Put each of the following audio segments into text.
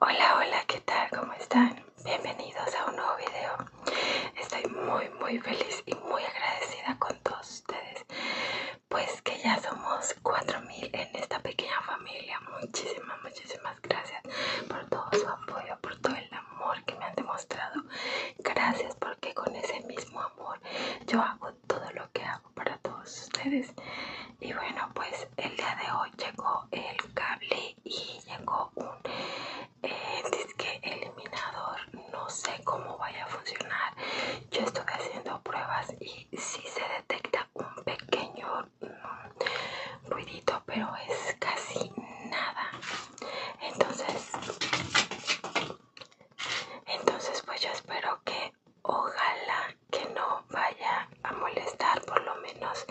Hola, hola, ¿qué tal? ¿Cómo están? Bienvenidos a un nuevo video. Estoy muy, muy feliz y muy agradecida con todos ustedes. Pues que ya somos 4000 en esta pequeña familia. Muchísimas, muchísimas gracias por todo su apoyo, por todo el amor que me han demostrado. Gracias porque con ese mismo amor yo hago todo lo que hago para todos ustedes y bueno pues el día de hoy llegó el cable y llegó un eh, disque eliminador no sé cómo vaya a funcionar yo estoy haciendo pruebas y si sí se detecta un pequeño mm, ruidito pero es casi nada entonces entonces pues yo espero que ojalá que no vaya a molestar, por lo menos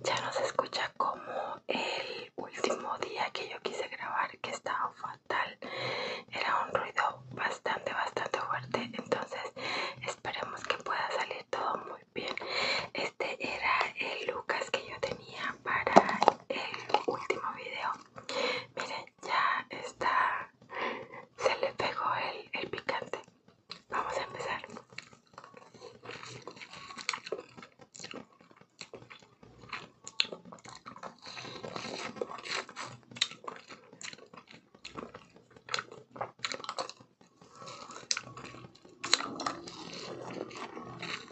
ya no se escucha como el último día que yo quise grabar que estaba fatal. Era un ruido bastante, bastante fuerte. Entonces esperemos que pueda salir todo muy bien. Este era el Lucas que yo tenía para el último video. Miren, ya está, se le pegó el, el picante. Vamos a empezar.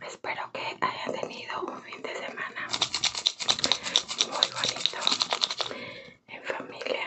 Espero que hayan tenido un fin de semana muy bonito en familia.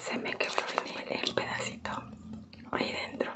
Se me quebró el, el pedacito ahí dentro.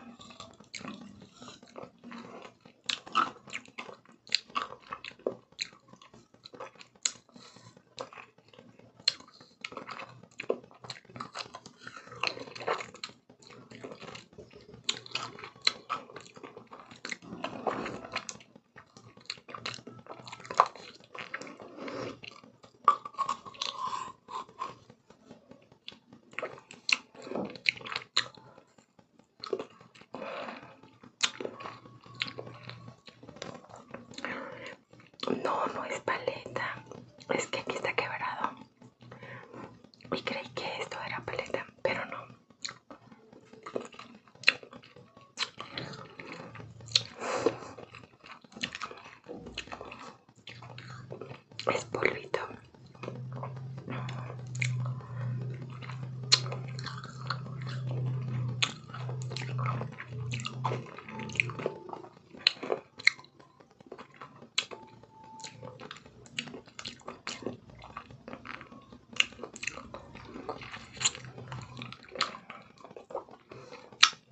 No, no es paleta. Es que aquí está quebrado. Y creí que esto era paleta, pero no es burrito.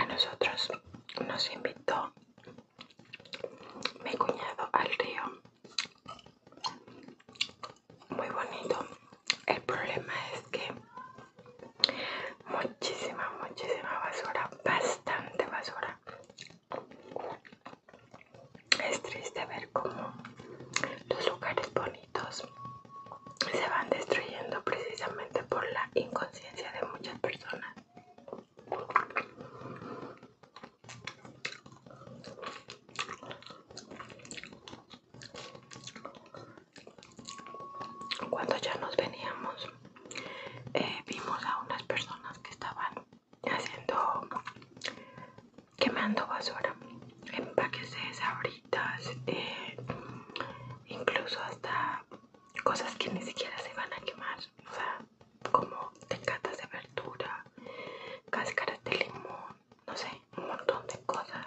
A nosotros nos invitó mi cuñado al río. Muy bonito. El problema es que muchísima, muchísima basura, bastante basura. Es triste ver cómo los lugares bonitos se van destruyendo precisamente por la inconsciencia de muchas personas cuando ya nos veníamos eh, vimos a unas personas que estaban haciendo quemando basura empaques de sabritas eh, incluso hasta cosas que ni siquiera se van a quemar o sea como tecatas de verdura cáscaras de limón no sé un montón de cosas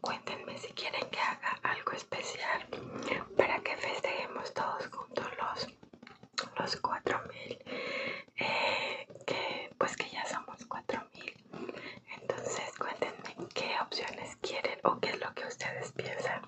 Cuéntenme si quieren que haga algo especial para que festejemos todos juntos los, los 4000 eh, pues que ya somos 4000 entonces cuéntenme qué opciones quieren o qué es lo que ustedes piensan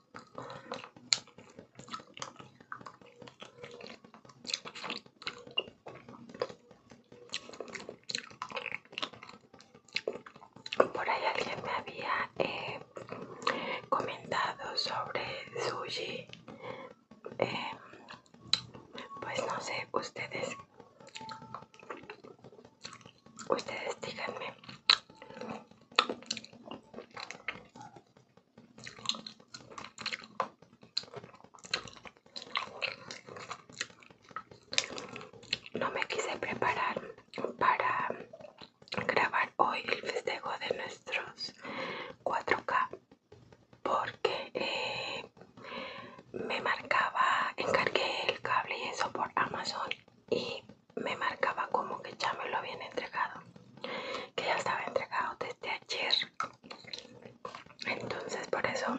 Por ahí alguien me había eh, comentado sobre sushi. Eh, pues no sé, ustedes, ustedes díganme no me quise preparar para grabar hoy el festejo de nuestros 4K porque eh, me marcaba, encargué el cable y eso por Amazon y me marcaba como que ya me lo habían entregado, que ya estaba entregado desde ayer. Entonces por eso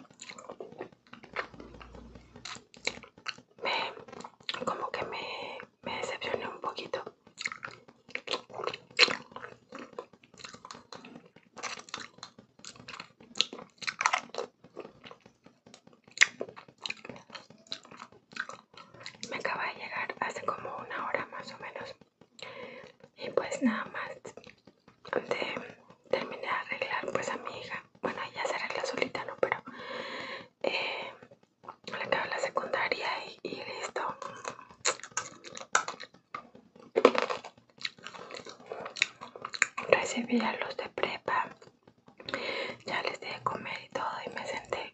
me como que me, decepcioné un poquito me acaba de llegar hace como una hora más o menos y pues nada más terminé de arreglar pues a mi hija bueno ella se arregla solita no pero eh, le acabo la secundaria y, y listo recibí a los de prepa ya les di de comer y todo y me senté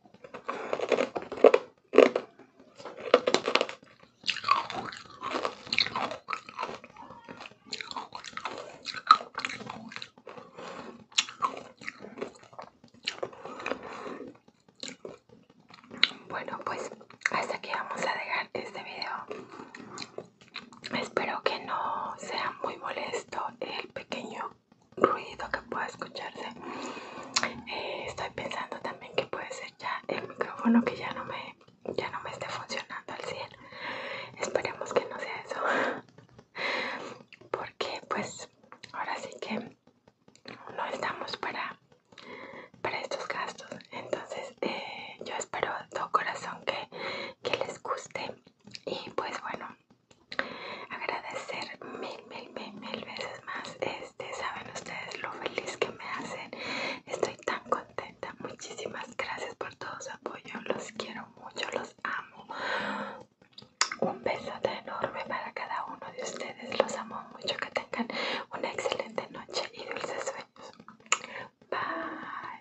Bueno, pues hasta aquí vamos a dejar este video. Espero que no sea muy molesto el pequeño ruido que pueda escucharse. Eh, estoy pensando también que puede ser ya el micrófono que ya no me, ya no me esté funcionando al cielo. Esperemos que no sea eso. Porque pues ahora sí que no estamos para, para estos gastos. Entonces eh, yo espero todo corazón que les guste. Y pues bueno, agradecer mil, mil, mil, mil veces más. Este, saben ustedes lo feliz que me hacen. Estoy tan contenta. Muchísimas gracias por todo su apoyo. Los quiero mucho, los amo. Un besote enorme para cada uno de ustedes. Los amo mucho. Que tengan una excelente noche y dulces sueños. Bye.